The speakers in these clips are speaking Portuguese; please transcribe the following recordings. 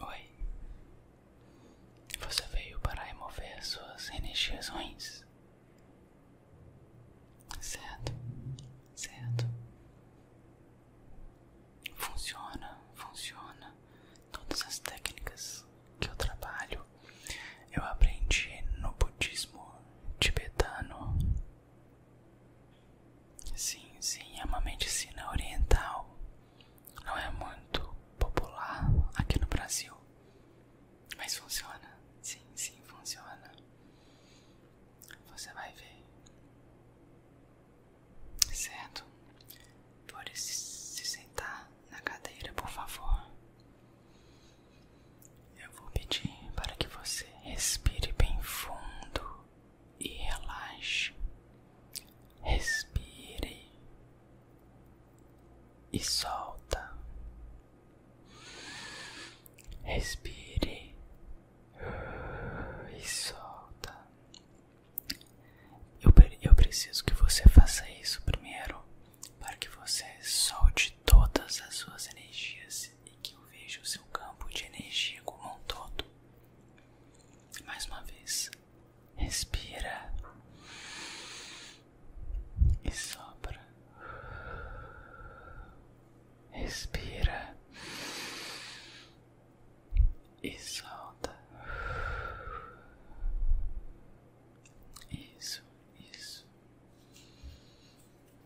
Oi, você veio para remover suas energias Certo, certo. Funciona, funciona. Todas as técnicas que eu trabalho eu aprendi no budismo tibetano Sim, sim, é uma medicina oriental. Não é muito popular aqui no Brasil, mas funciona. Sim, sim, funciona. Você vai ver. Certo? por Pode se sentar na cadeira, por favor. Eu vou pedir para que você respire bem fundo e relaxe. Respire e solta. Respire e solta. Eu, preciso que você faça isso primeiro para que você solte todas as suas energias e que eu vejo o seu campo de energia como um todo. Mais uma vez, respira e sobra Respira e solta. Isso, isso.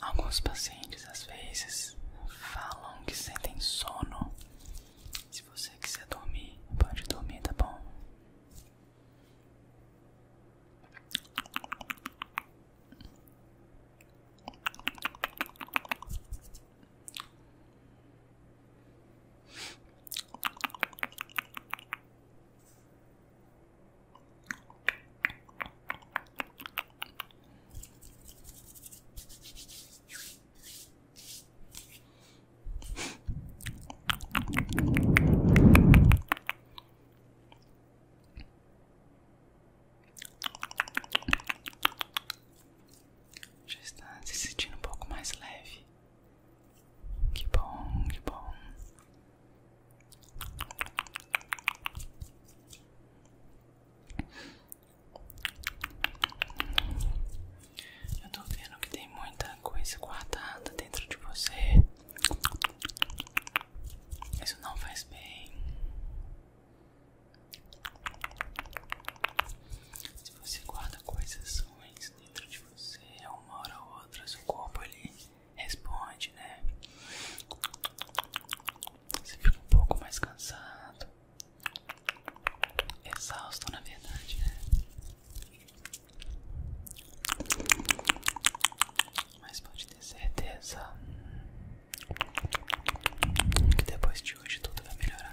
Alguns pacientes às vezes falam que sentem sono. Se você quiser dormir, pode dormir, tá bom? Já está se sentindo um pouco mais leve. Que bom, que bom. Eu tô vendo que tem muita coisa guardada dentro de você. Isso não faz bem. Se você guarda coisas ruins dentro de você, uma hora ou outra, seu corpo ali responde, né? Você fica um pouco mais cansado, exausto na verdade, né? Mas pode ter certeza que depois de hoje tudo vai melhorar.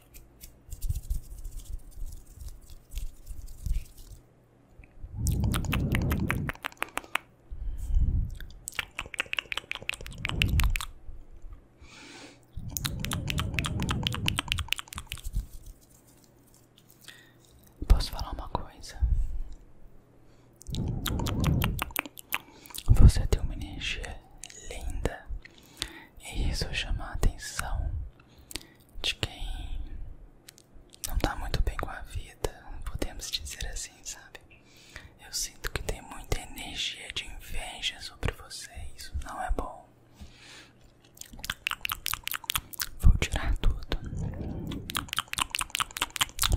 Posso falar uma coisa? Você tem uma energia linda e isso chama a atenção de quem não tá muito bem com a vida, podemos dizer assim, sabe? Eu sinto que tem muita energia de inveja sobre você, isso não é bom. Vou tirar tudo.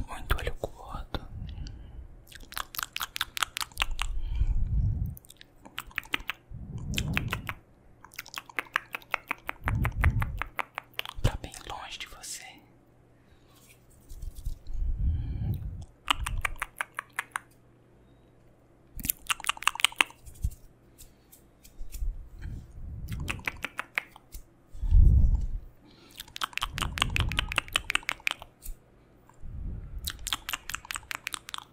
Muito olho gordo. Tá bem longe de você.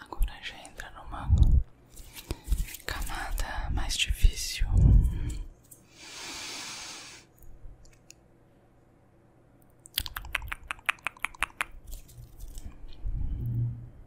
Agora já entra numa camada mais difícil.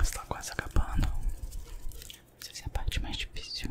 Está quase acabando. Essa é parte mais difícil.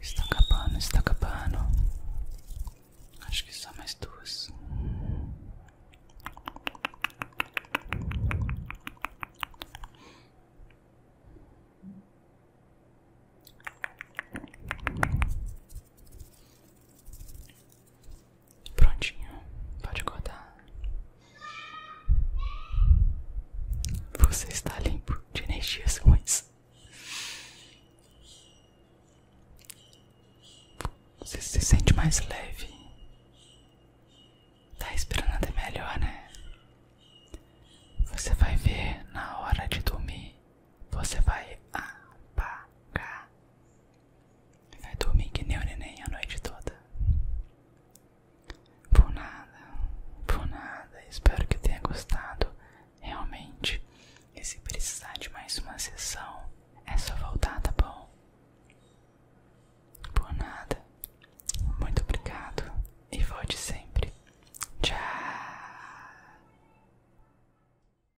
Está acabando, está acabando. Acho que só mais duas. Prontinho, pode acordar. Você está limpo de energias ruins. Você se sente mais leve. Tá esperando até melhor, né? Você vai ver na hora de dormir. Você vai apagar é dormir que nem o neném a noite toda. Por nada, por nada. Espero que tenha gostado. Realmente. E se precisar de mais uma sessão, é só voltar, tá bom? Por nada. Muito obrigado. E volte sempre. Tchau.